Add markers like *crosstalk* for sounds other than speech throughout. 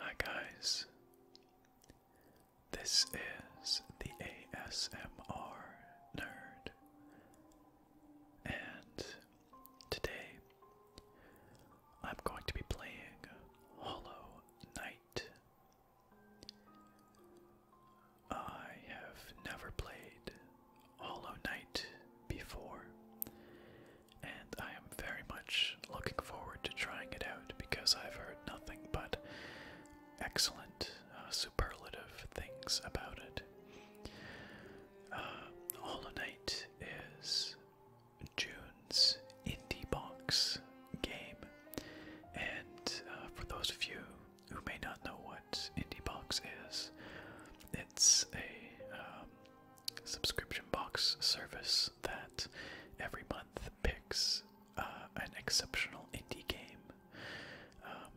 Hi guys, this is the ASMR Nerd, and today I'm going to be playing Hollow Knight. I have never played Hollow Knight before, and I am very much looking forward to trying it out because I've heard nothing but excellent, uh, superlative things about it. Um, Hollow Knight is June's indie box game, and uh, for those of you who may not know what indie box is, it's a um, subscription box service that every month picks uh, an exceptional indie game um,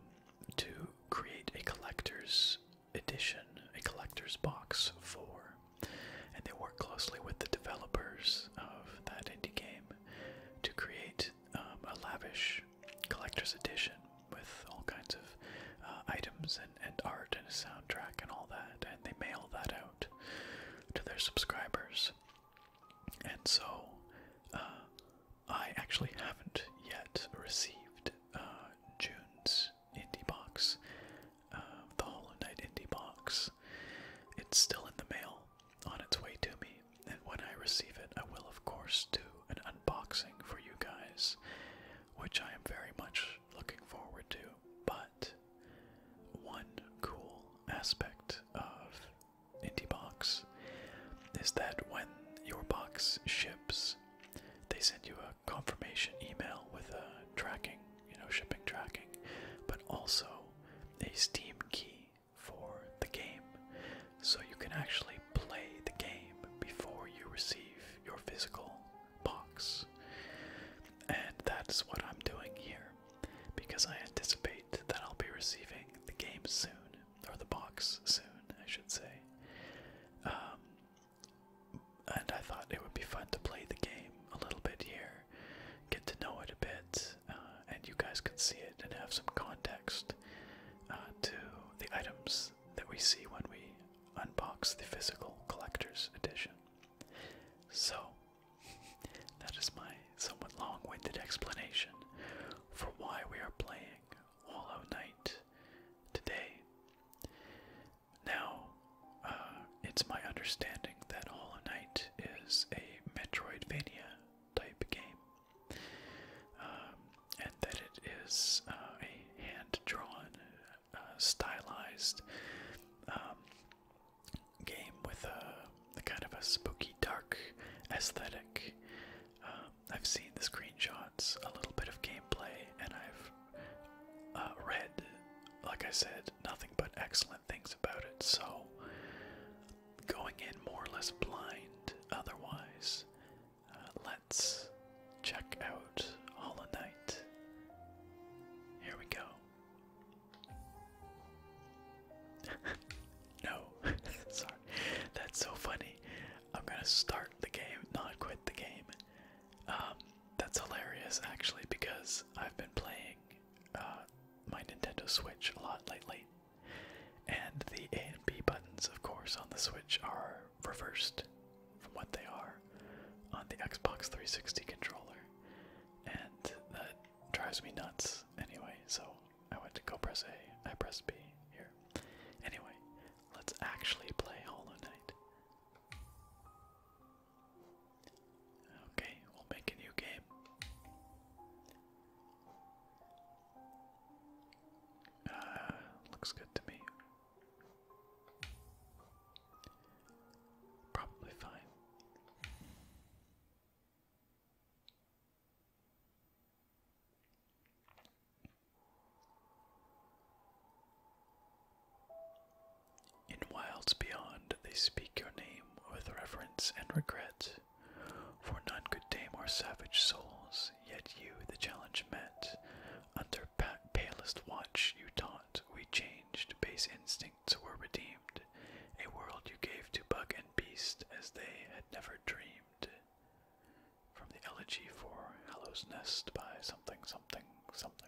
to create a collector's edition, a collector's box for, and they work closely with the developers of that indie game to create um, a lavish collector's edition with all kinds of uh, items and, art and a soundtrack and all that, and they mail that out to their subscribers. And so, uh, I actually haven't yet received uh, June's indie box, uh, the Hollow Knight indie box. It's still in the mail on its way to me, and when I receive it, I will, of course, do an unboxing for you guys, which I am very much looking forward to. But one cool aspect of Indie Box is that when your box ships, they send you a confirmation email with a tracking, you know, shipping tracking, but also a Steam key for the game. So you can actually play the game before you receive your physical box. And that's what I'm doing here because I anticipate that I'll be receiving the game soon or the box soon, I should say. Um, and I thought it would be fun to play the game a little bit here, get to know it a bit, uh, and you guys can see it and have some context uh, to the items that we see when we unbox the physical collector's edition. So, that is my somewhat long winded explanation for why we are playing Hollow Knight today. Now, uh, it's my understanding that Hollow Knight is a Metroidvania type game, um, and that it is uh, a hand drawn, uh, stylized um, game with a, kind of a spooky, dark aesthetic. Um, I've seen the screenshots, a little bit of gameplay, and I've uh, read, like I said, nothing but excellent things about it. So, going in more or less blind otherwise, uh, let's check out Hollow Knight. Here we go. *laughs* no, *laughs* sorry, that's so funny. I'm gonna start the game, not quit the game. Um, that's hilarious actually because I've been playing uh, my Nintendo Switch a lot lately, and the A and B buttons, of course, on the Switch are reversed from what they are on the Xbox 360 controller, and that drives me nuts. Anyway, so I went to go press A, I pressed B here. Anyway, Let's actually play Hollow Knight. Okay, we'll make a new game. Uh, looks good to me. Probably fine. In wilds beyond, they speak your name with reverence and regret, for none could tame our savage souls, yet you the challenge met. Under palest watch you taught, we changed, base instincts were redeemed, a world you gave to bug and beast as they had never dreamed from the Elegy for Hallow's Nest by something, something, something.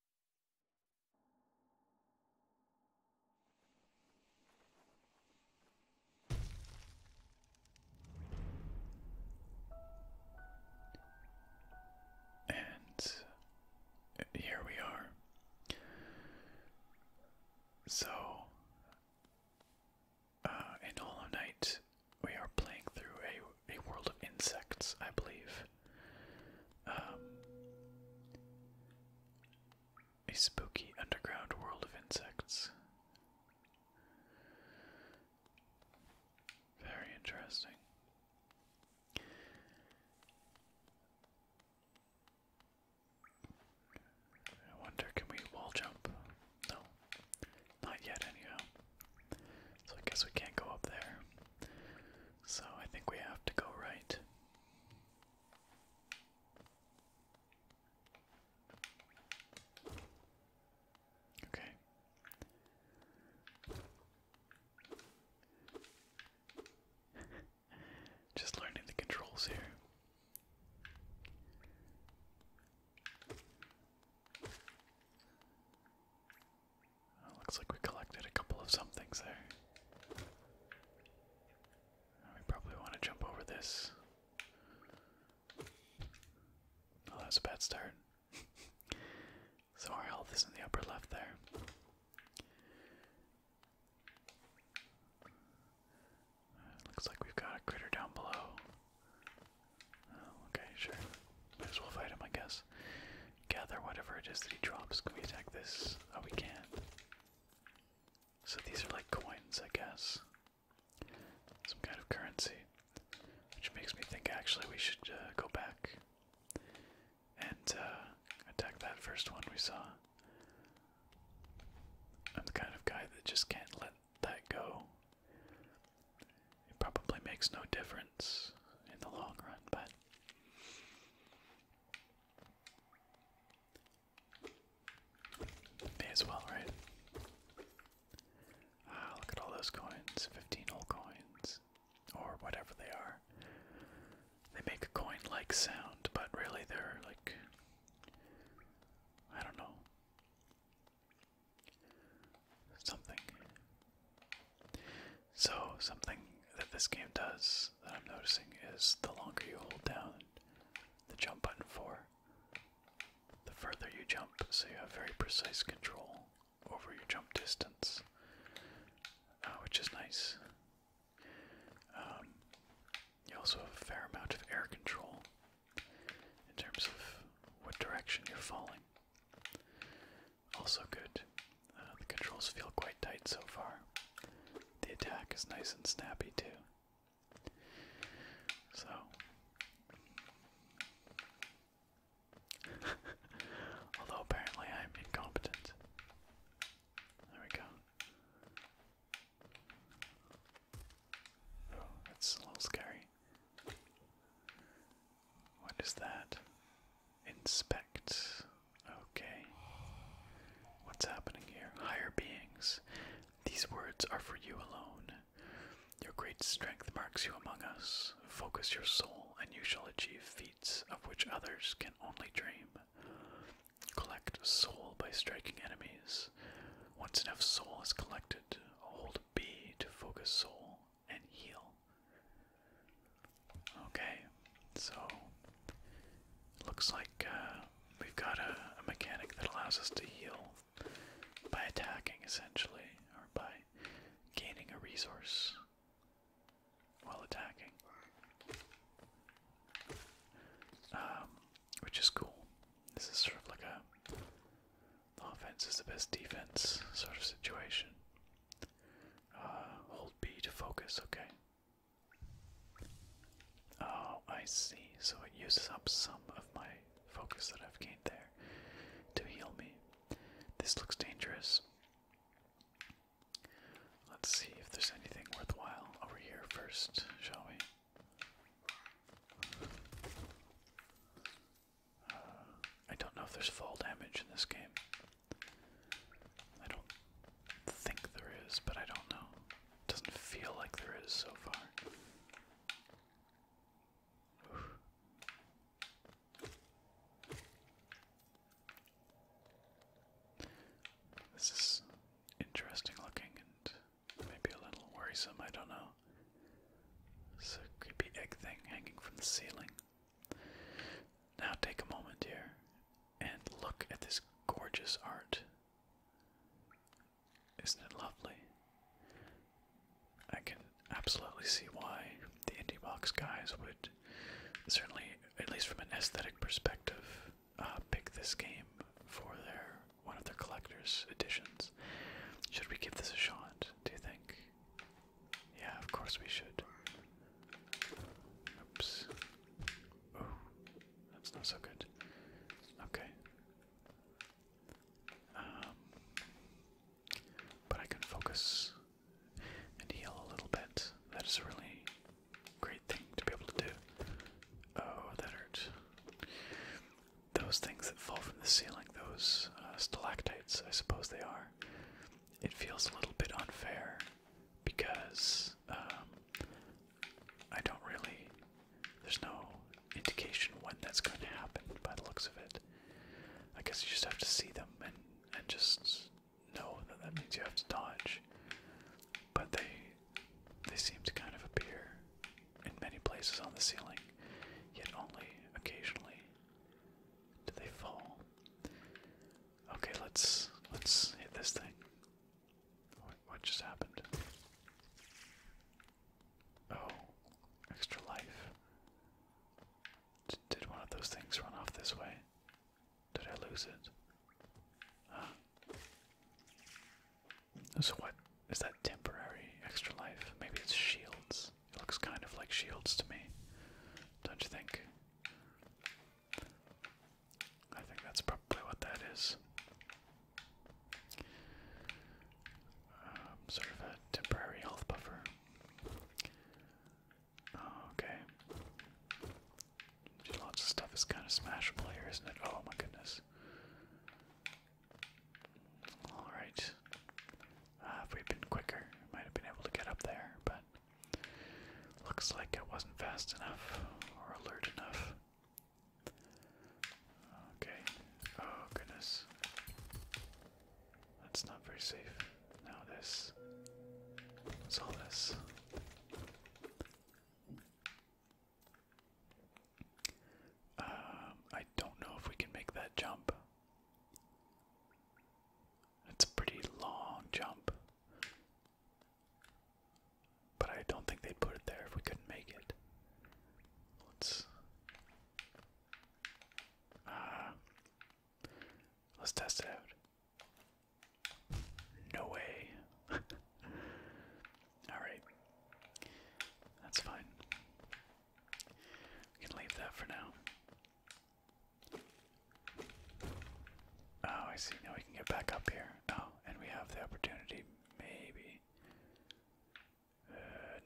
And here we are. So, uh, in Hollow Knight, we are playing through a, a world of insects, I believe. Um, a spooky underground world of insects. Very interesting. I wonder, can we wall jump? No, not yet, anyhow. So I guess we can't go up there. So I think we have to go right. Okay. *laughs* Just learning the controls here looks like we collected a couple of somethings there. We probably want to jump over this. Oh, that's a bad start. *laughs* so our health is in the upper left there. Uh, looks like we've got a critter down below. Oh, okay, sure. Might as well fight him, I guess gather whatever it is that he drops. Can we attack this? Oh, we can. So these are like coins, I guess. Some kind of currency. Which makes me think actually we should uh, go back and uh, attack that first one we saw. I'm the kind of guy that just can't let that go. It probably makes no difference in the long run, but May as well, right? Ah, look at all those coins. 15 old coins. Or whatever they are. They make a coin like sound, but really they're like. I don't know. Something. So, something that this game does that I'm noticing is the longer you hold down the jump button for, the further you jump, so you have very precise control over your jump distance, uh, which is nice. Um, you also have a fair amount of air control in terms of what direction you're falling. Also good. Uh, the controls feel quite tight so far. The attack is nice and snappy too. So. *laughs* Although apparently I'm incompetent. There we go. Oh, that's a little scary. What is that? Inspect. Okay. What's happening here? Higher beings. These words are for you alone. Your great strength marks you among us. Focus your soul, and you shall achieve feats of which others can only dream. Collect soul by striking enemies. Once enough soul is collected, hold B to focus soul and heal. Okay, so looks like uh, we've got a, mechanic that allows us to heal by attacking, essentially, or by gaining a resource while attacking, um, which is cool. This is sort of like a offense is the best defense sort of situation. Uh, hold B to focus, okay. Oh, I see. So it uses up some of my focus that I've gained there to heal me. This looks dangerous. Let's see if there's anything worthwhile over here first, shall we? Uh, I don't know if there's fall damage in this game. I don't think there is, but I don't know. Doesn't feel like there is so far. This is interesting looking and maybe a little worrisome, I don't know. It's a creepy egg thing hanging from the ceiling. Now take a moment here and look at this gorgeous art. Isn't it lovely? I can absolutely see why the indie box guys would certainly, at least from an aesthetic perspective, uh, pick this game for their one of their collector's editions. Should we give this a shot? Do you think? Yeah, of course we should. Oops. Oh, that's not so good. Okay. Um, but I can focus and heal a little bit. That is a really great thing to be able to do. Oh, that hurts. Those things that fall from the ceiling, those uh, stalactites, I suppose they are. It feels a little bit unfair because um, I don't really. There's no indication when that's going to happen by the looks of it. I guess you just have to see them and and just know that that means you have to dodge. But they they seem to kind of appear in many places on the ceiling, yet only occasionally do they fall. Okay, let's let's hit this thing. What, just happened? Oh, extra life. did one of those things run off this way? Did I lose it? Huh. So what is that temporary extra life? Maybe it's shields. It looks kind of like shields to me. Don't you think? I think that's probably what that is. Um, sort of a temporary health buffer. Oh, okay. Lots of stuff is kind of smashable here, isn't it? Oh my goodness. Alright. Uh, if we'd been quicker, might have been able to get up there, but Looks like it wasn't fast enough or alert enough. Okay. Oh, goodness. That's not very safe. Now, this. What's all this? Um, I don't know if we can make that jump. It's a pretty long jump. But I don't think they'd put it there if we couldn't make it. Let's uh, let's test it out. No way. *laughs* Alright. That's fine. We can leave that for now. Oh, I see. Now we can get back up here. Oh, and we have the opportunity, maybe. Uh,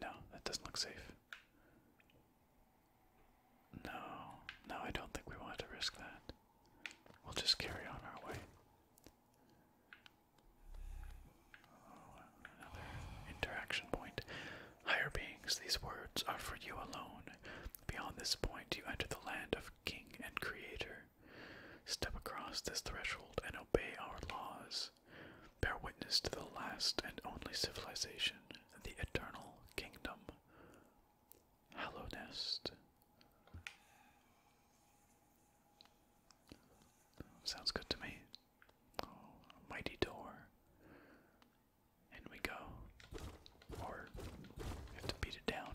no, that doesn't look safe. No, no, I don't think we want to risk that. We'll just carry on our way. Oh, another interaction point. Higher beings, these words are for you alone. Beyond this point, you enter the land of King and Creator. Step across this threshold and obey our laws. Bear witness to the last and only civilization, the Eternal Kingdom. Hallow Nest. Sounds good to me. Oh, mighty door and we go. Or we have to beat it down.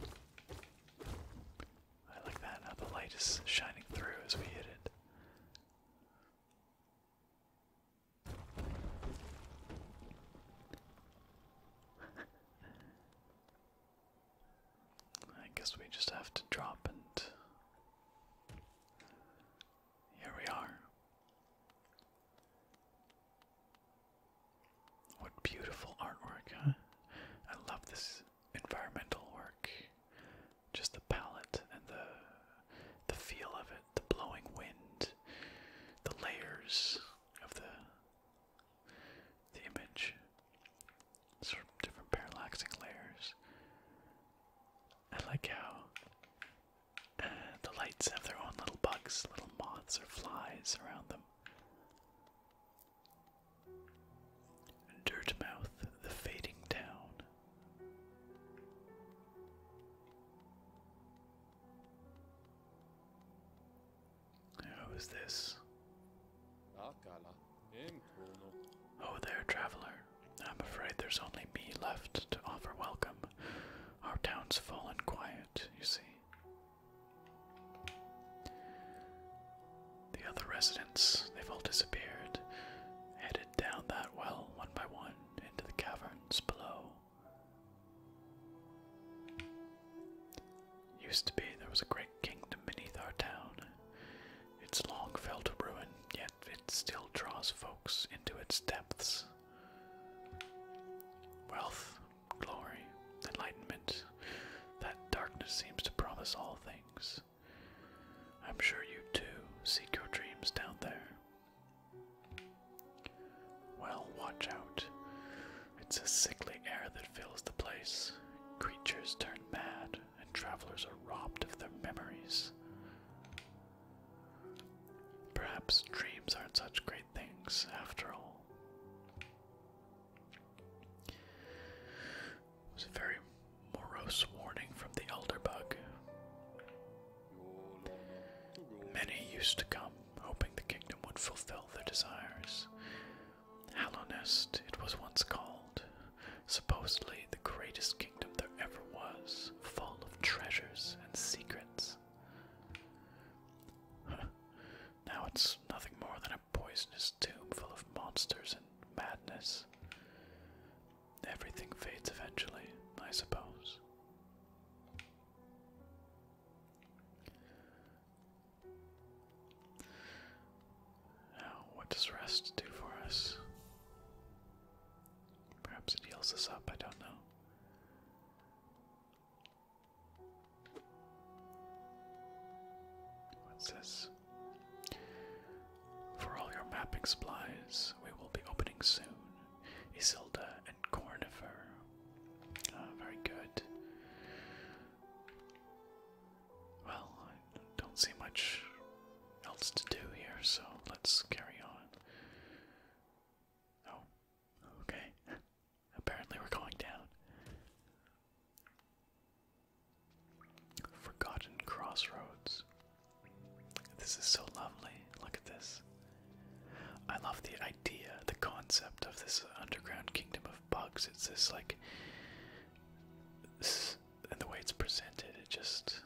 I like that, how the light is shining through as we hit it. *laughs* I guess we just have to drop and here we are. What beautiful artwork, huh? I love this environmental work. Just the palette and the the feel of it, the blowing wind, the layers of the the image. Sort of different parallaxing layers. I like how uh, the lights have their own little bugs, little moths or flies around them. Dirtmouth, the fading town. Who is this? Oh, there, traveler. I'm afraid there's only me left to offer welcome. Our town's full and quiet, you see. The other residents, they've all disappeared, headed down that well one by one into the caverns below. Used to be there was a great kingdom beneath our town. It's long fell to ruin, yet it still draws folks into its depths. Wealth, glory, enlightenment that darkness seems to promise all things. I'm sure you too seek your dreams down there. Well, watch out. It's a sickly air that fills the place. Creatures turn mad, and travelers are robbed of their memories. Perhaps dreams aren't such great things after all. It was a very morose warning from the elder Many used to come, hoping the kingdom would fulfill their desires. Hallownest, it was once called, supposedly the greatest kingdom there ever was, full of treasures and secrets. *laughs* now it's nothing more than a poisonous tomb full of monsters and madness. Everything fades eventually, I suppose. Now, what does rest do for us? Perhaps it heals us up, I don't know. What's this? For all your mapping supplies, we will be opening soon. Isilda and Cornifer. Ah, very good. Well, I don't see much else to do here, so let's carry on. Oh, okay. Apparently, we're going down. Forgotten Crossroads. This is so lovely. Look at this. I love the idea, the concept of this underground kingdom of bugs. It's this, like, and the way it's presented, it just.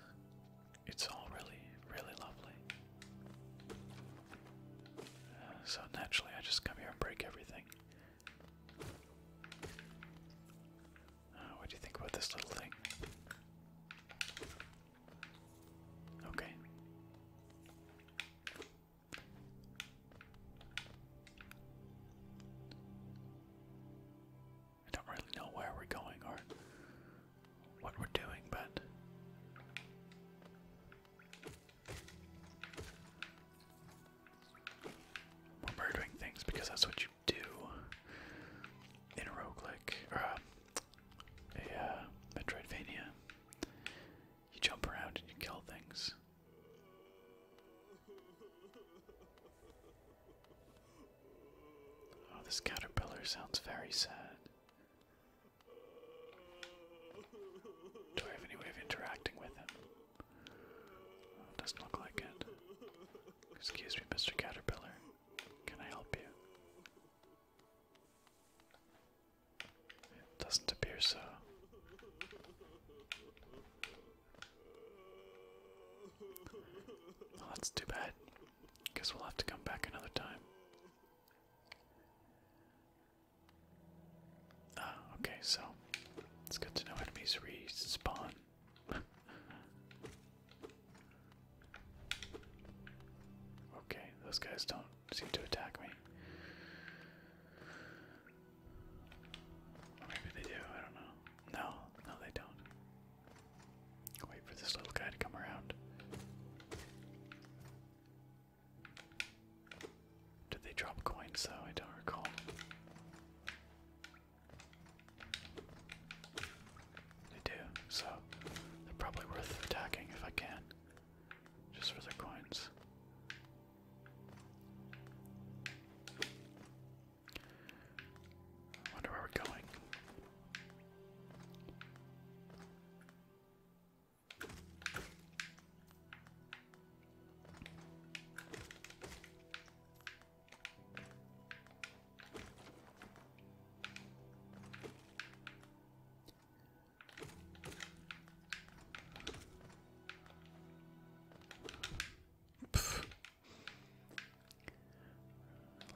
It's all really, really lovely. So naturally, I just come here and break everything. Uh, what do you think about this little thing? Okay. I don't really know where we're going or what we're doing, but we're murdering things because that's what you do in a roguelike, or um, a, uh, Metroidvania. You jump around and you kill things. Oh, this caterpillar sounds very sad. Do I have any way of interacting with it doesn't look like it. Excuse me, Mr. Caterpillar. Can I help you? doesn't appear so. that's too bad. Guess we'll have to come back another time. Ah, okay, so it's good to know enemies respawn. *laughs* okay, those guys don't seem to attack me. maybe they do, I don't know. No, no, they don't. wait for this little guy to come around. Did they drop coins So I don't recall. They do, so they're probably worth attacking if I can. Just for the coins. I wonder where we're going.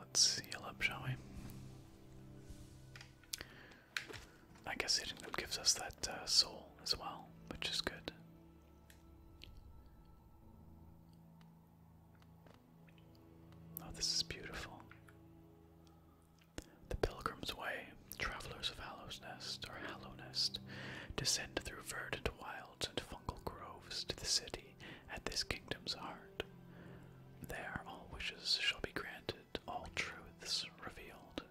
Let's seal up, shall we? I guess it gives us that uh, soul as well, which is good. Oh, this is beautiful. The Pilgrim's Way, travelers of Hallow's Nest or Hallow Nest, descend through verdant wilds and fungal groves to the city at this kingdom's heart. There all wishes shall be granted all truths revealed.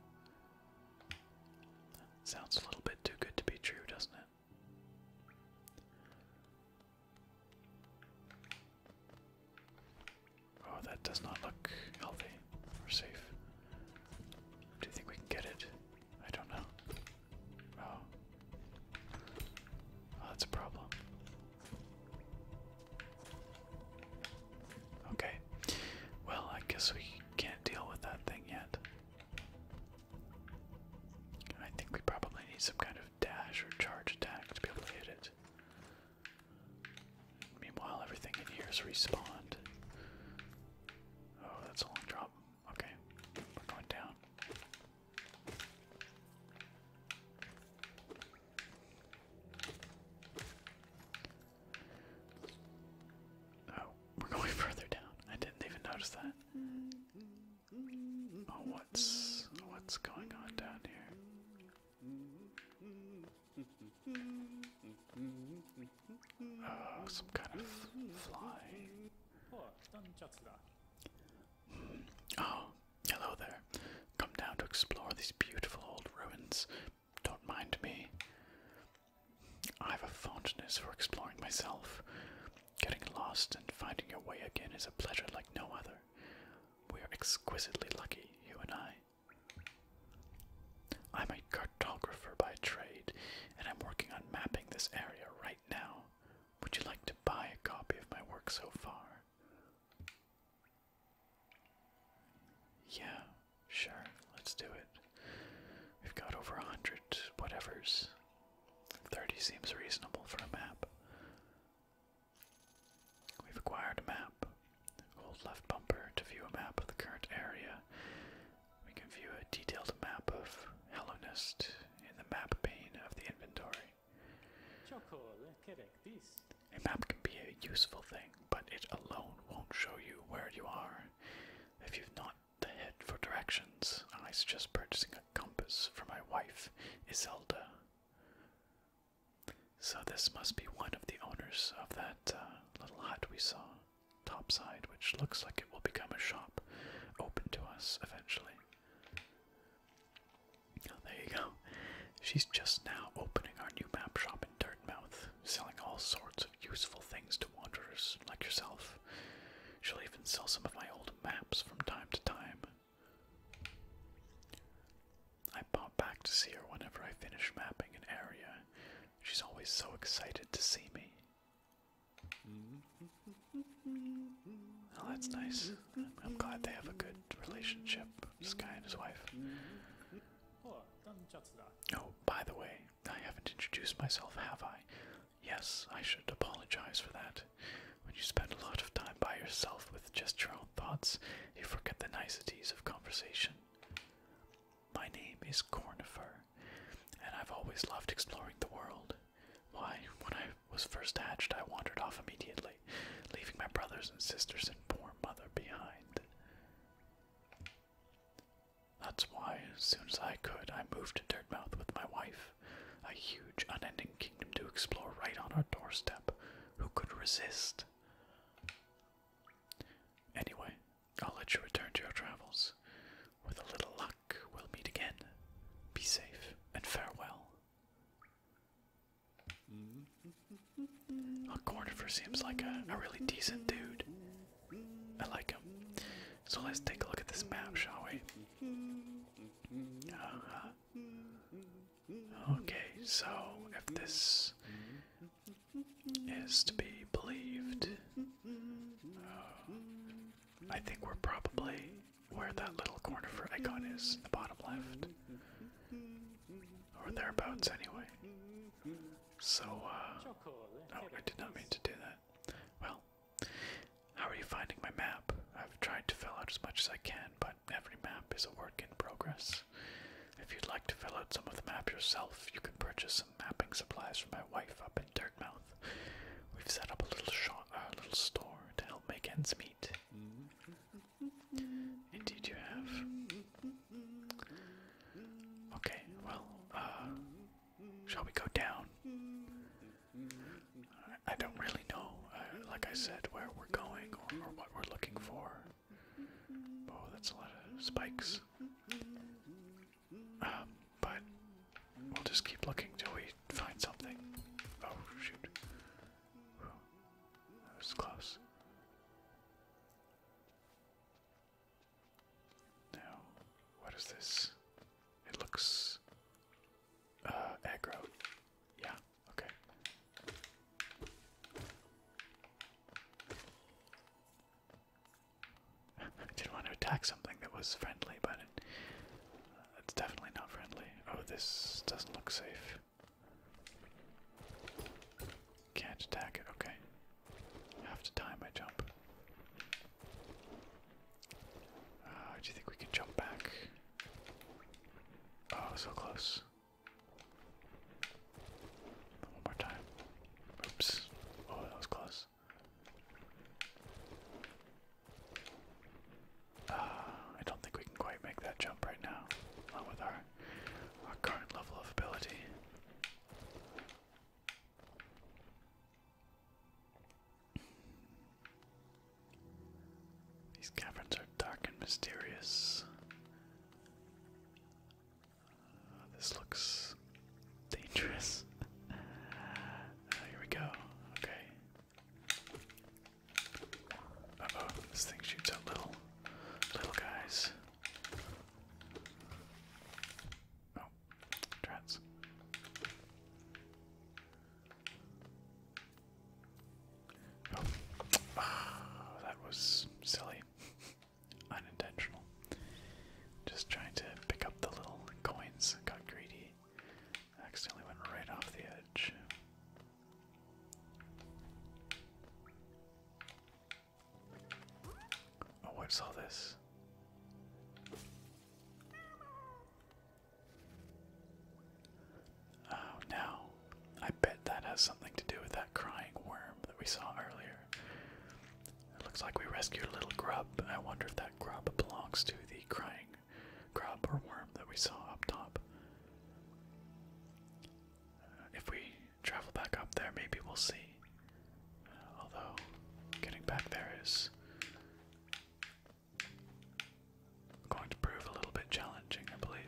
Sounds a little bit too good to be true, doesn't it? Oh, that does not look healthy or safe. Do you think we can get it? I don't know. Oh, oh that's a problem. Okay. Well, I guess we can't deal with that thing yet. I think we probably need some kind of dash or charge attack to be able to hit it. Meanwhile, everything in here is respawned. Oh, that's a long drop. Okay, we're going down. Oh, we're going *laughs* further down. I didn't even notice that. Oh, what's what's going on down here? Oh, some kind of fly. Hmm. Oh, hello there. Come down to explore these beautiful old ruins. Don't mind me. I have a fondness for exploring myself. Getting lost and finding your way again is a pleasure like no other. We are exquisitely lucky, you and I. I'm a cartographer by trade, and I'm working on mapping this area right now. Would you like to buy a copy of my work so far? Yeah, sure, let's do it. We've got over a hundred whatevers. 30 seems reasonable for a map. We've acquired a map. Hold left bumper to view a map of the current area. We can view a detailed map of Hellenist in the map pane of the inventory. A map can be a useful thing, but it alone won't show you where you are. If you've not the head for directions, I suggest purchasing a compass for my wife, Iselda. So this must be one of the owners of that uh, little hut we saw, topside, which looks like it will become a shop, open to us eventually. there you go. She's just now opening our new map shop in Dartmouth, selling all sorts of useful things to wanderers like yourself. She'll even sell some of my old maps from time to time. I pop back to see her whenever I finish mapping an area. She's always so excited to see me. that's nice. I'm glad they have a good relationship, Sky and his wife. Oh, by the way, I haven't introduced myself, have I? Yes, I should apologize for that. When you spend a lot of time by yourself with just your own thoughts, you forget the niceties of conversation. My name is Cornifer, and I've always loved exploring the world. Why, when I was first hatched, I wandered off immediately leaving my brothers and sisters and poor mother behind. That's why, as soon as I could, I moved to Dirtmouth with my wife, a huge, unending kingdom to explore right on our doorstep. Who could resist? Anyway, I'll let you return to your travels. With a little luck, we'll meet again. Be safe and farewell. Look, Cornifer seems like a, really decent dude. I like him. So let's take a look at this map, shall we? Uh-huh. Okay, so if this is to be believed, uh, I think we're probably where that little for icon is, in the bottom left. Or thereabouts, anyway. So, uh. Oh, I did not mean to do that. Well, how are you finding my map? I've tried to fill out as much as I can, but every map is a work in progress. If you'd like to fill out some of the map yourself, you can purchase some mapping supplies from my wife up in Dirtmouth. We've set up a little shop, a little store to help make ends meet. Indeed, you have. Okay, well, uh, shall we go down? I don't really know, uh, like I said, where we're going or, or what we're looking for. Oh, that's a lot of spikes. Um, but we'll just keep looking till we find something. Oh, shoot. That was close. Now, what is this? It looks uh aggro. Yeah, okay. *laughs* I didn't want to attack something that was friendly, but uh, it's definitely not friendly. Oh, this doesn't look safe. Can't attack it, okay. Have to time my jump. Uh, do you think we can jump back? Oh, so close. One more time. Oops. Oh, that was close. Uh, I don't think we can quite make that jump right now. Not with our our current level of ability. These caverns are dark and mysterious. Uh, this looks dangerous. *laughs* Uh, here we go. Okay. oh, this thing shoots out little, little guys. Oh, drats. oh, ah, that was silly. *laughs* Unintentional. Just trying to pick up the little coins, got greedy. Accidentally went right off the edge. Oh, what's all this? Oh, now I bet that has something to do with that crying worm that we saw earlier. It looks like we rescued a little grub. I wonder if that grub belongs to the crying grub or worm that we saw up top. Uh, if we travel back up there, maybe we'll see. Uh, although, getting back there is going to prove a little bit challenging, I believe.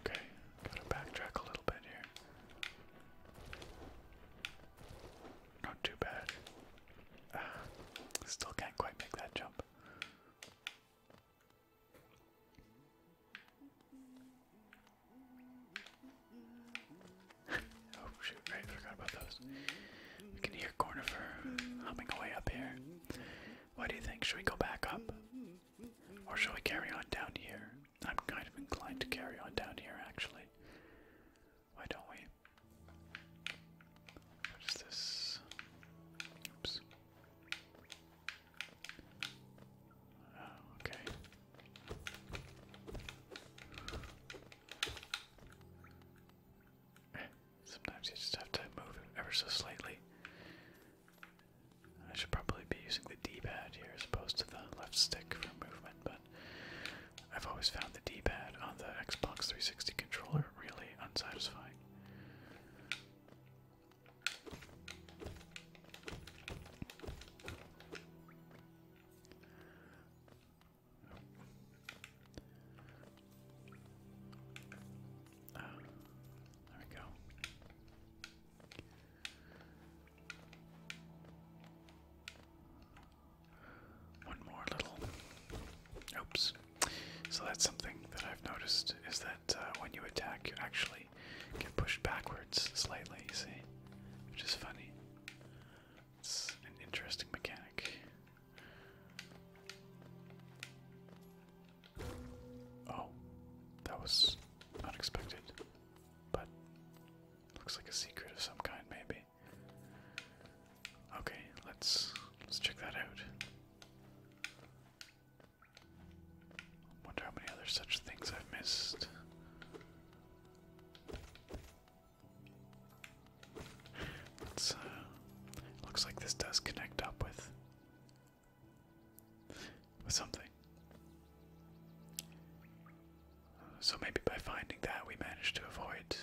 Okay, gotta backtrack a little bit here. Not too bad. still can't quite make that jump. *laughs* oh shoot, right, I forgot about those. We can hear Cornifer humming away up here. What do you think? Should we go back up? Or shall we carry on down here? I'm kind of inclined to carry on down here, actually. Why don't we? What is this? Oops. Oh, okay. *sighs* Sometimes you just have to move it ever so slightly. I should probably be using the D pad here as opposed to the left stick for movement, but. I've always found the D-pad on the Xbox 360 controller really unsatisfying. there we go one more little. Oops. So that's something that I've noticed is that uh, when you attack, you actually get pushed backwards slightly. You see, which is funny. It's an interesting mechanic. Oh, that was unexpected, but looks like a secret of some kind, maybe. Okay, let's let's check that out. Wonder how many other such things I've missed. Uh, looks like this does connect up with with something. So maybe by finding that, we managed to avoid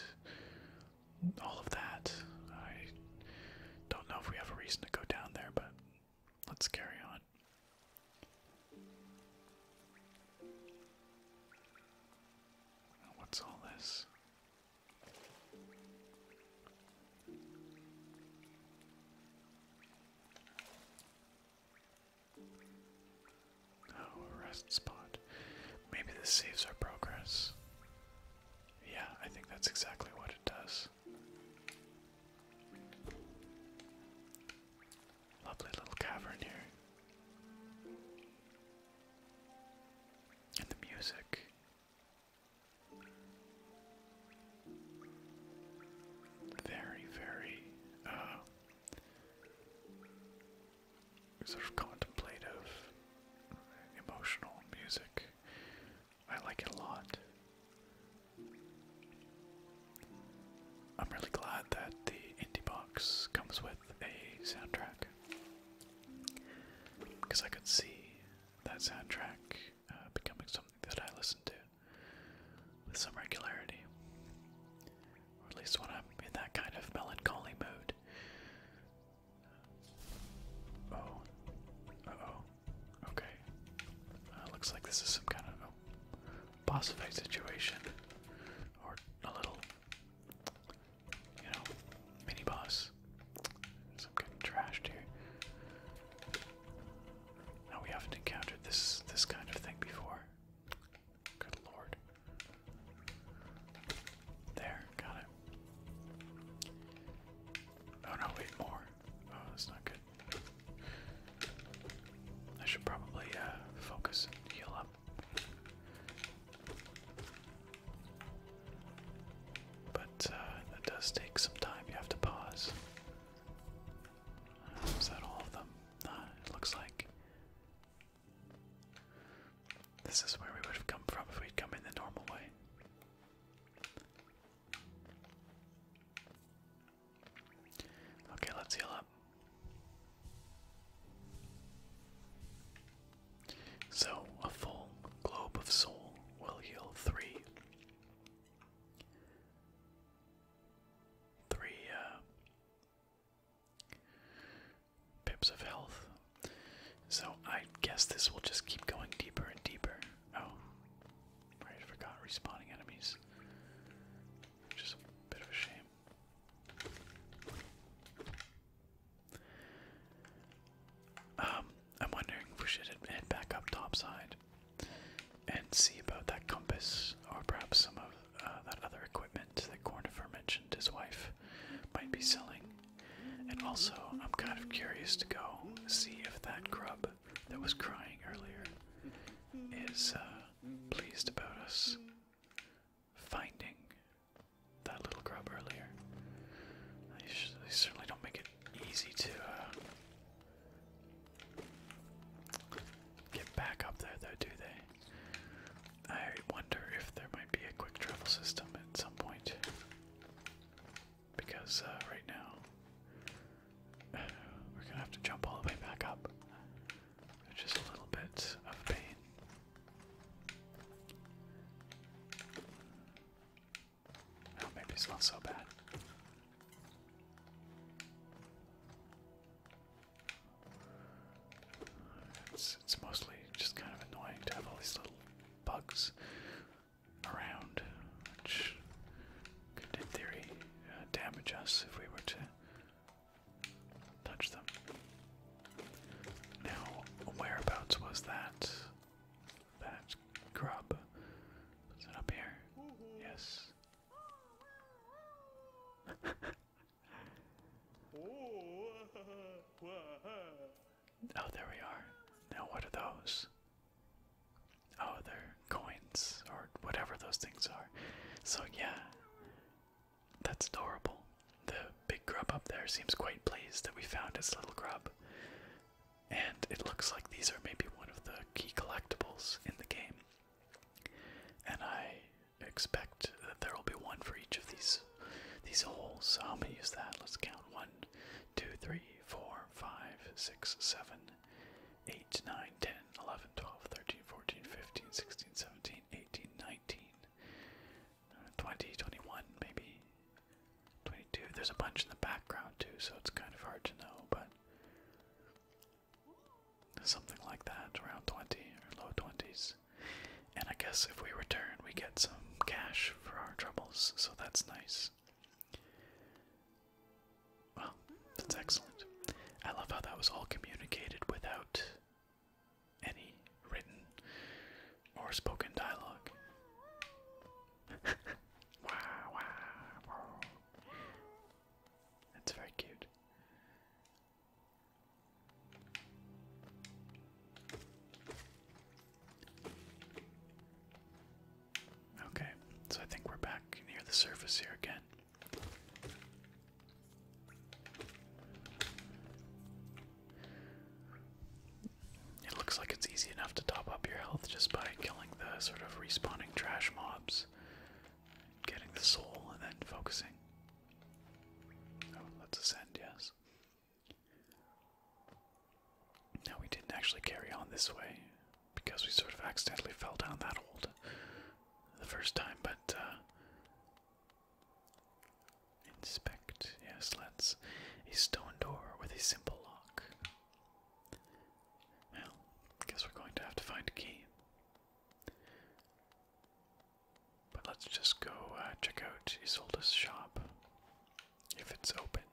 all of that. I don't know if we have a reason to go down there, but let's carry on. What's all this? Oh, rest spot. Maybe this saves our progress. Yeah, I think that's exactly what it does. Lovely little cavern here. And the music. Very, very, uh, sort of contemplative, emotional music. I like it a lot. I'm really glad that the indie box comes with a soundtrack. Because I could see that soundtrack uh, becoming something that I listened to with some regularity or at least when I'm in that kind of melancholy mood. Oh, oh, okay. Uh, looks like this is some kind of a oh, boss fight situation, or a little, you know, mini boss. Some getting trashed here. Now we haven't encountered this this kind of thing before. Good lord. There, got it. Oh no, wait, more. Oh, that's not good. I should probably uh, focus and heal up. But uh, that does take some time. You have to pause. Uh, is that all of them? it looks like. This is where we would have come from if we'd come in the normal way. Okay, let's heal up. So, a full globe of soul will heal three. Three, uh, Pips of health. So I guess this will just keep going deeper and deeper. Oh, right, forgot respawning enemies. Which a bit of a shame. Um, I'm wondering if we should head back up topside and see about that compass, or perhaps some of uh, that other equipment that Cornifer mentioned his wife might be selling. And also, I'm kind of curious to go see if that grub that was crying earlier is uh, pleased about us finding that little grub earlier. They, certainly don't make it easy to uh, get back up there, though, do they? I wonder if there might be a quick travel system at some point. Because uh, right now, *sighs* we're gonna have to jump all the way back up. Just a little bit of pain. Oh, maybe it's not so bad. It's, mostly just kind of annoying to have all these little bugs around, which could, in theory, uh, damage us if we were to touch them. Now, whereabouts was that? That grub? Was it up here? Mm-hmm. Yes. *laughs* Oh, there we are. Now, what are those? Oh, they're coins or whatever those things are. So, yeah, that's adorable. The big grub up there seems quite pleased that we found his little grub. And it looks like these are maybe one of the key collectibles in the game. And I expect that there will be one for each of these these holes. So how many is that? Let's count. One, two, three, four, five, six, seven, eight, nine, ten, eleven, twelve, thirteen, fourteen, fifteen, sixteen, seventeen, eighteen, nineteen, twenty, twenty-one, maybe twenty-two. There's a bunch in the background too, so it's kind of hard to know, but something like that, around 20 or low 20s. And I guess if we return, we get some cash for our troubles, so that's nice. Well, that's excellent. I love how that was all communicated without any written or spoken dialogue. *laughs* wow, wow, That's very cute. Okay, so I think we're back near the surface here again. It looks like it's easy enough to top up your health just by killing the sort of respawning trash mobs, getting the soul, and then focusing. Oh, let's ascend, yes. Now we didn't actually carry on this way because we sort of accidentally fell down that old the first time, but uh, inspect, yes, let's a stone door with a simple lock. Well, guess we're going to have to find a key. But let's just go uh, check out Isolde's shop if it's open.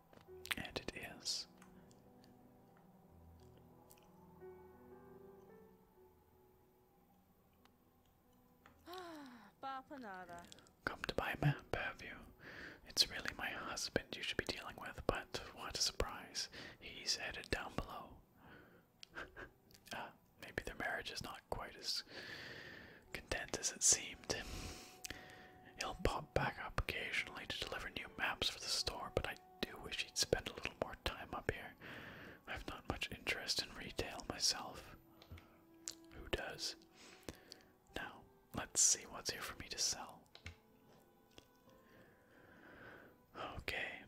And it is. Ah, Come to buy a map, have you? It's really my husband you should be dealing with, but what a surprise. He's headed down below. *laughs* ah, maybe their marriage is not quite as content as it seemed. He'll pop back up occasionally to deliver new maps for the store, but I do wish he'd spend a little more time up here. I've not much interest in retail myself. Who does? Now, let's see what's here for me to sell. Okay.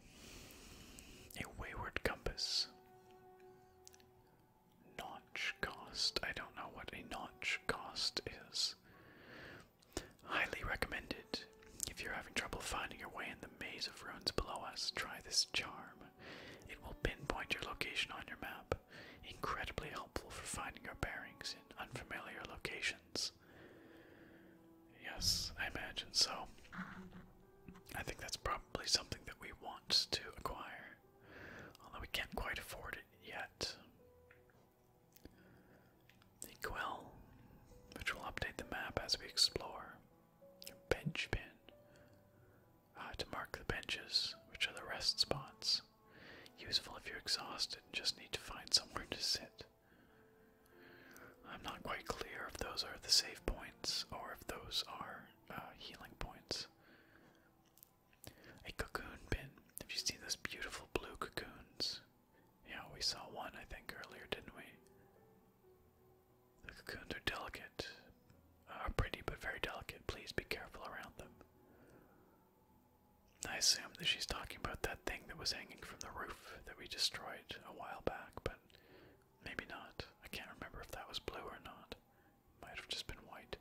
A wayward compass. Notch cost. I don't know what a notch cost is. Highly recommended. If you're having trouble finding your way in the maze of ruins below us, try this charm. It will pinpoint your location on your map. Incredibly helpful for finding your bearings in unfamiliar locations. Yes, I imagine so. I think that's probably something that we want to acquire, although we can't quite afford it yet. The Quell, which will update the map as we explore. Bench pin, ah, to mark the benches, which are the rest spots. Useful if you're exhausted and just need to find somewhere to sit. I'm not quite clear if those are the save points or if those are uh, healing points. A cocoon pin. Have you seen those beautiful blue cocoons? Yeah, we saw one, I think, earlier, didn't we? The cocoons are delicate, are uh, pretty but very delicate. Please be careful around them. I assume that she's talking about that thing that was hanging from the roof that we destroyed a while back, but Maybe not. I can't remember if that was blue or not. Might have just been white.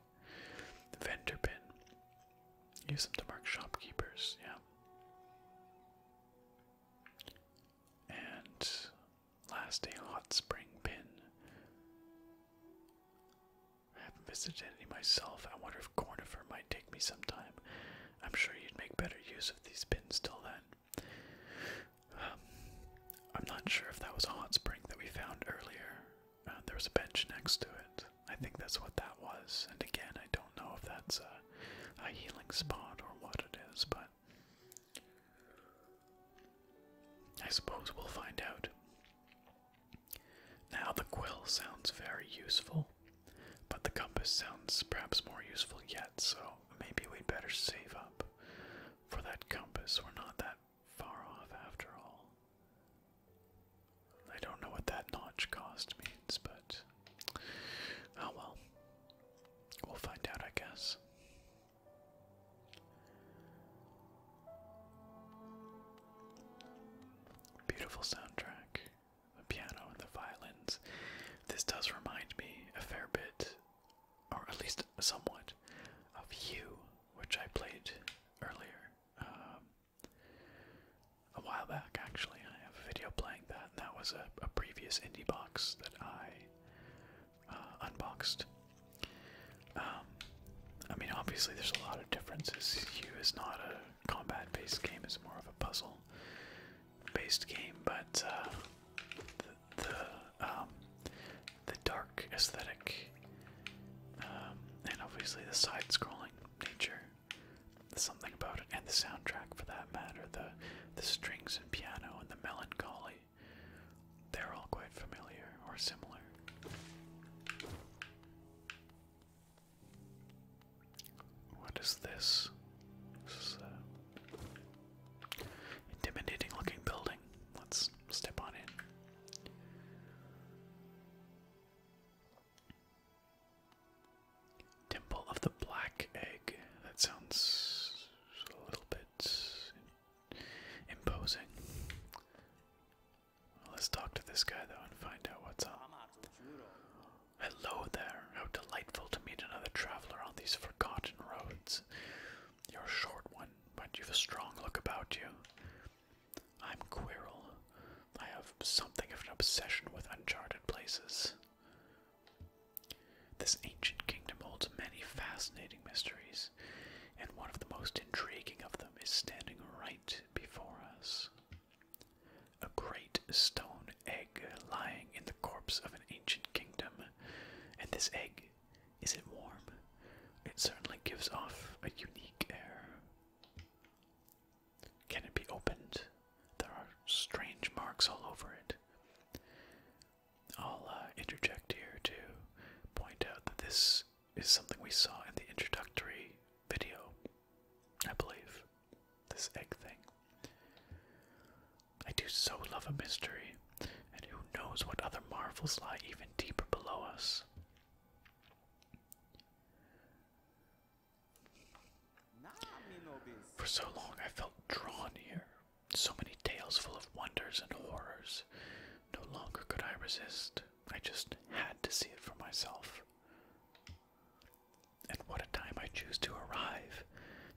Vendor pin. Use them to mark shopkeepers, yeah. And last a hot spring pin. I haven't visited any myself. I wonder if Cornifer might take me sometime. I'm sure you'd make better use of these pins till then. Um, I'm not sure if that was a hot spring that we found earlier. Uh, there was a bench next to it. I think that's what that was. And again, I don't know if that's a healing spot or what it is, but I suppose we'll find out. Now, the quill sounds very useful, but the compass sounds perhaps more useful yet, so maybe we'd better save up for that compass, we're not that far off after all. I don't know what that notch cost means, but oh well. We'll find out, I guess. Beautiful soundtrack. The piano and the violins. This does remind me a fair bit or at least somewhat, of You, which I played earlier, um, a while back actually. I have a video playing that, and that was a, previous indie box that I uh, unboxed. Um, I mean, obviously, there's a lot of differences. You is not a combat based game, it's more of a puzzle based game, but uh, the um, the dark aesthetic, um, and obviously the side-scrolling nature. something about it, and the soundtrack, for that matter, the the strings and piano and the melancholy. They're all quite familiar or similar. What is this? Uh, Intimidating looking building. Let's step on in. Temple of the Black Egg. That sounds a little bit imposing. let's talk to this guy though and find out what's up. Hello there. How delightful to meet another traveler on these forgotten roads. You're a short one, but you've a strong look about you. I'm Quirrell. I have something of an obsession with uncharted places. This ancient kingdom holds many fascinating mysteries, and one of the most intriguing of them is standing right before us. A great stone egg lying in the corpse of an ancient kingdom, and this egg is it warm? It certainly gives off a unique air. Can it be opened? There are strange marks all over it. I'll uh, interject here to point out that this is something we saw in the introductory video, I believe. This egg thing. I do so love a mystery, and who knows what other marvels lie even deeper below us. For so long I felt drawn here, so many tales full of wonders and horrors. No longer could I resist. I just had to see it for myself. And what a time I choose to arrive!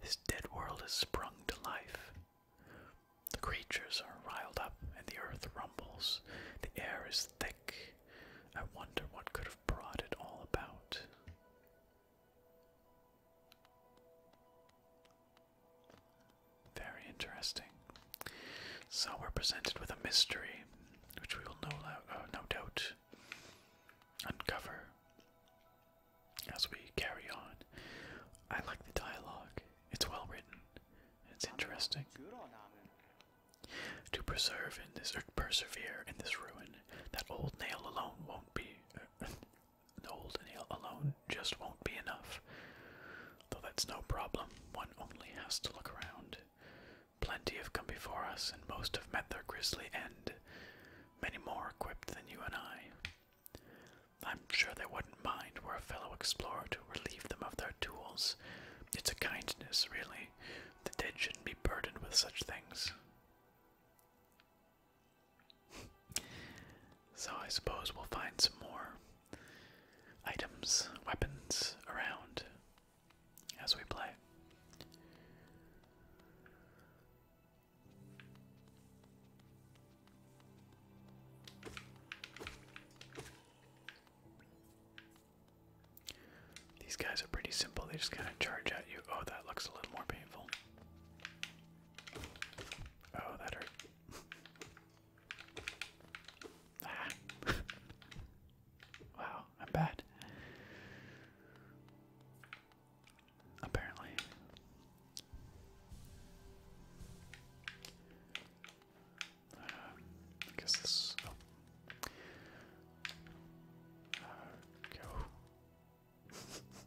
This dead world has sprung to life. The creatures are riled up, and the earth rumbles. The air is thick. I wonder what could have brought it all about. Very interesting. So we're presented with a mystery, which we will no, uh, doubt uncover as we carry on. I like the dialogue, it's well written, it's interesting. To preserve in this, persevere in this ruin, that old nail alone won't be, uh, *laughs* the old nail alone just won't be enough. Though that's no problem, one only has to look around. Plenty have come before us, and most have met their grisly end, many more equipped than you and I. I'm sure they wouldn't mind were a fellow explorer to relieve them of their tools. It's a kindness, really. The dead shouldn't be burdened with such things. *laughs* so I suppose we'll find some more items, weapons around as we play. These guys are pretty simple, they just kind of charge at you. Oh, that looks a little more painful. Oh, that hurt. *laughs* ah. *laughs* wow, I'm bad apparently. Uh, I guess oh. uh,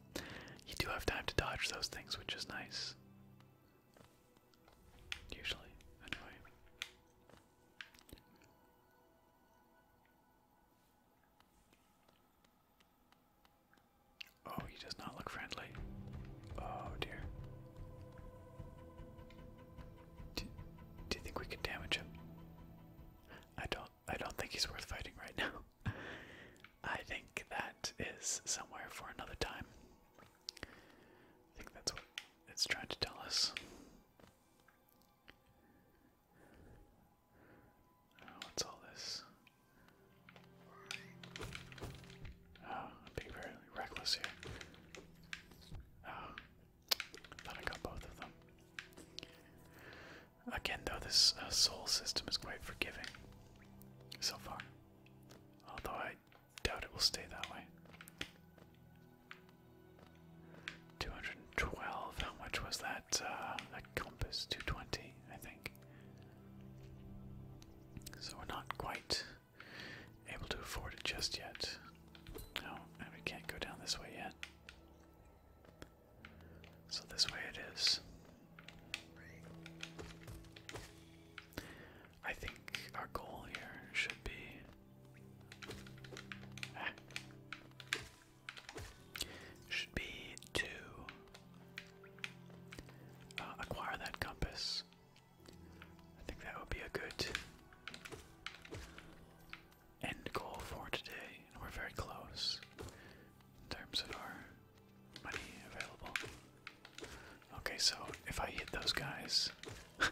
*laughs* you do have time to dodge those things, which is nice. Usually, anyway. Oh, he does not look friendly. Oh dear. Do, do you think we can damage him? I don't. I don't think he's worth fighting right now. *laughs* I think that is somewhere for another time. I think that's what it's trying to tell us. Oh, what's all this? Oh, i very reckless here. Oh, thought I got both of them. Again, though, this uh, soul system is quite forgiving so far. Although I doubt it will stay that way. 212, how much was that? Uh, that compass? 220, I think. So we're not quite able to afford it just yet. No, and we can't go down this way yet. So this way it is. I think our goal here should be ah, should be to uh, acquire that compass. I think that would be a good end goal for today, and we're very close in terms of our money available. Okay, so if I hit those guys *laughs* uh,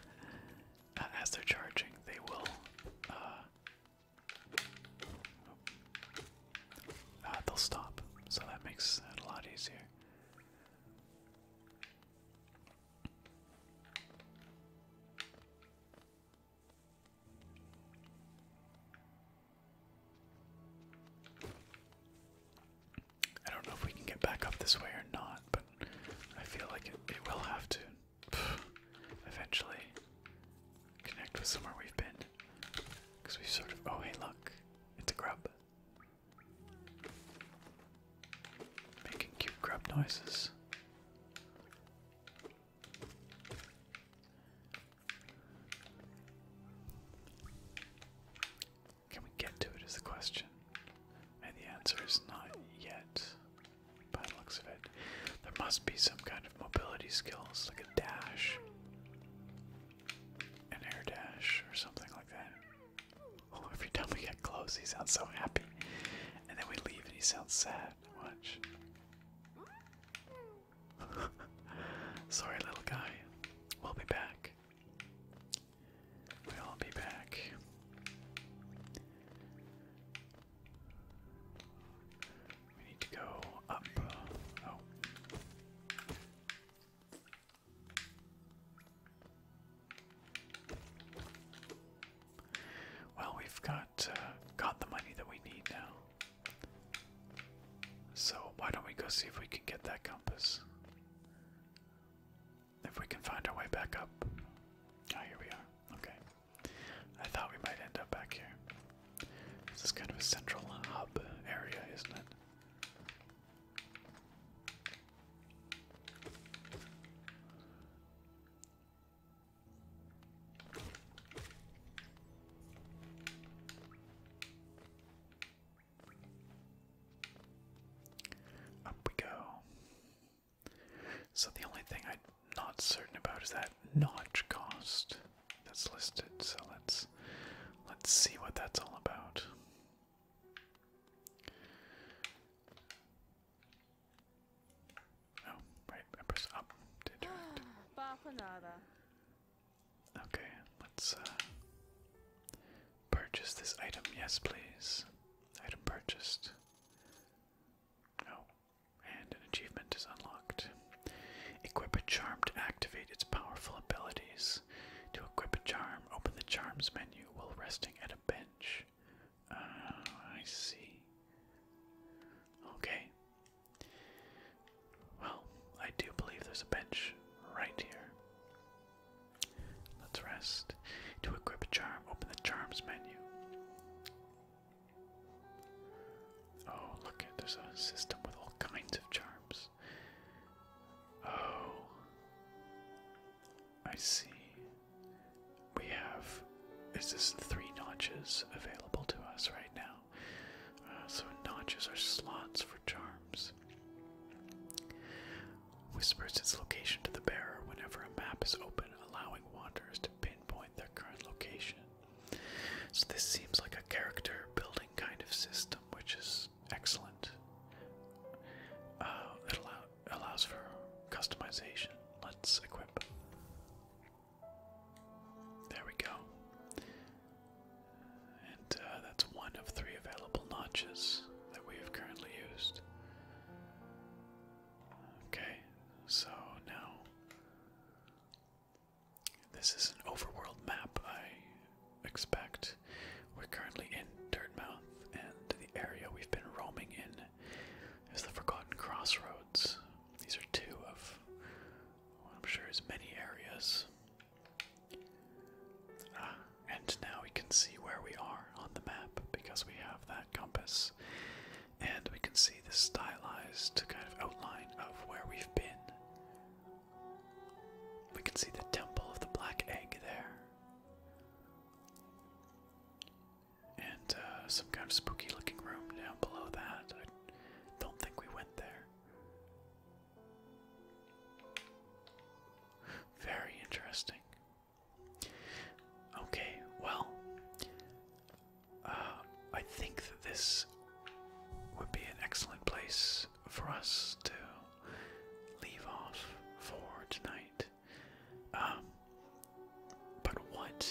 as they're charging, they will. Uh, uh, they'll stop, so that makes it a lot easier. I don't know if we can get back up this way or not, but I feel like it will have to *sighs* eventually connect with somewhere we've been. Because we've sort of. Oh, hey, look. It's a grub. Making cute grub noises. Can we get to it? Is the question. And the answer is not yet, by looks of it. There must be some kind of mobility skills, like a dash an air dash or something like that. every time we get close, he sounds so happy. And then we leave and he sounds sad. Watch. *laughs* Sorry, little guy. We'll be back. We'll be back. We need to go up. Oh. Well, we've got uh, got the money that we need now. So why don't we go see if we can get that compass? If we can find our way back up. Ah, here we are. Okay. I thought we might end up back here. This is kind of a central hub area, isn't it? Up we go. So the only thing I'm not certain about is that notch cost that's listed. So let's let's see what that's all about. Oh, right, I up ah, Okay, let's uh, purchase this item. Yes, please. Item purchased. Oh, and an achievement is unlocked. Equip a charm to activate its powerful abilities. To equip a charm, open the charms menu while resting at a bench. Ah, I see. Okay. Well, I do believe there's a bench right here. Let's rest. To equip a charm, open the charms menu. Oh, look there's a system with all kinds of charms this. Oh. I see. We have. Is this three notches available to us right now? Uh, so notches are slots for charms. Whispers its location to the bearer whenever a map is open, allowing wanderers to pinpoint their current location. So this seems like a character building kind of system, which is excellent. Uh, it allows for customization. Let's equip. There we go. And uh, that's one of three available notches that we have currently used. Okay, so now this is an overworld map, I expect. We're currently in Dirtmouth, and the area we've been roaming in is the Forgotten Crossroads. These are two of I'm sure is many areas. Ah, and now we can see where we are on the map because we have that compass. And we can see the stylized kind of outline of where we've been. We can see the temple of the black egg there. And uh, some kind of spooky looking room down below that. I don't think we went there. Very interesting. Okay, well, uh, I think that this would be an excellent place for us to leave off for tonight. Um, but what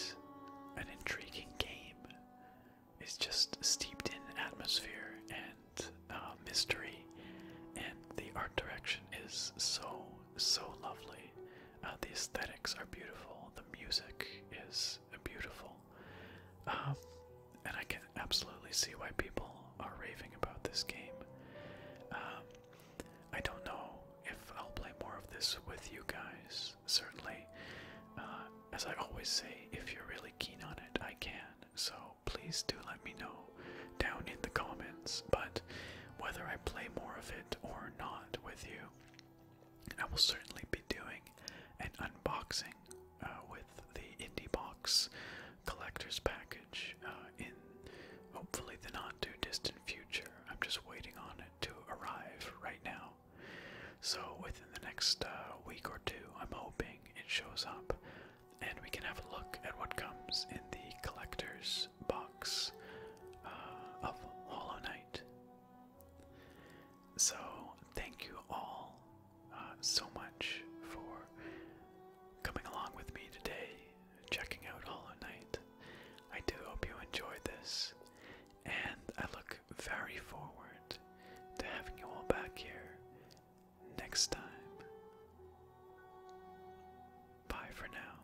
an intriguing game! It's just steeped in atmosphere and uh, mystery, and the art direction is so so lovely. Uh, the aesthetics are beautiful. The music is and beautiful. Um, and I can absolutely see why people are raving about this game. Um, I don't know if I'll play more of this with you guys. Certainly, uh, as I always say, if you're really keen on it, I can. So please do let me know down in the comments. But whether I play more of it or not with you, I will certainly be doing an unboxing uh, with the Indie Box collector's package uh, in hopefully the not too distant future. I'm just waiting on it to arrive right now. So within the next uh, week or two, I'm hoping it shows up and we can have a look at what comes in the collector's box of Hollow Knight. So, thank you all uh, so much for coming along with me today, checking out Hollow Knight. I do hope you enjoyed this, and I look very forward to having you all back here next time. Bye for now.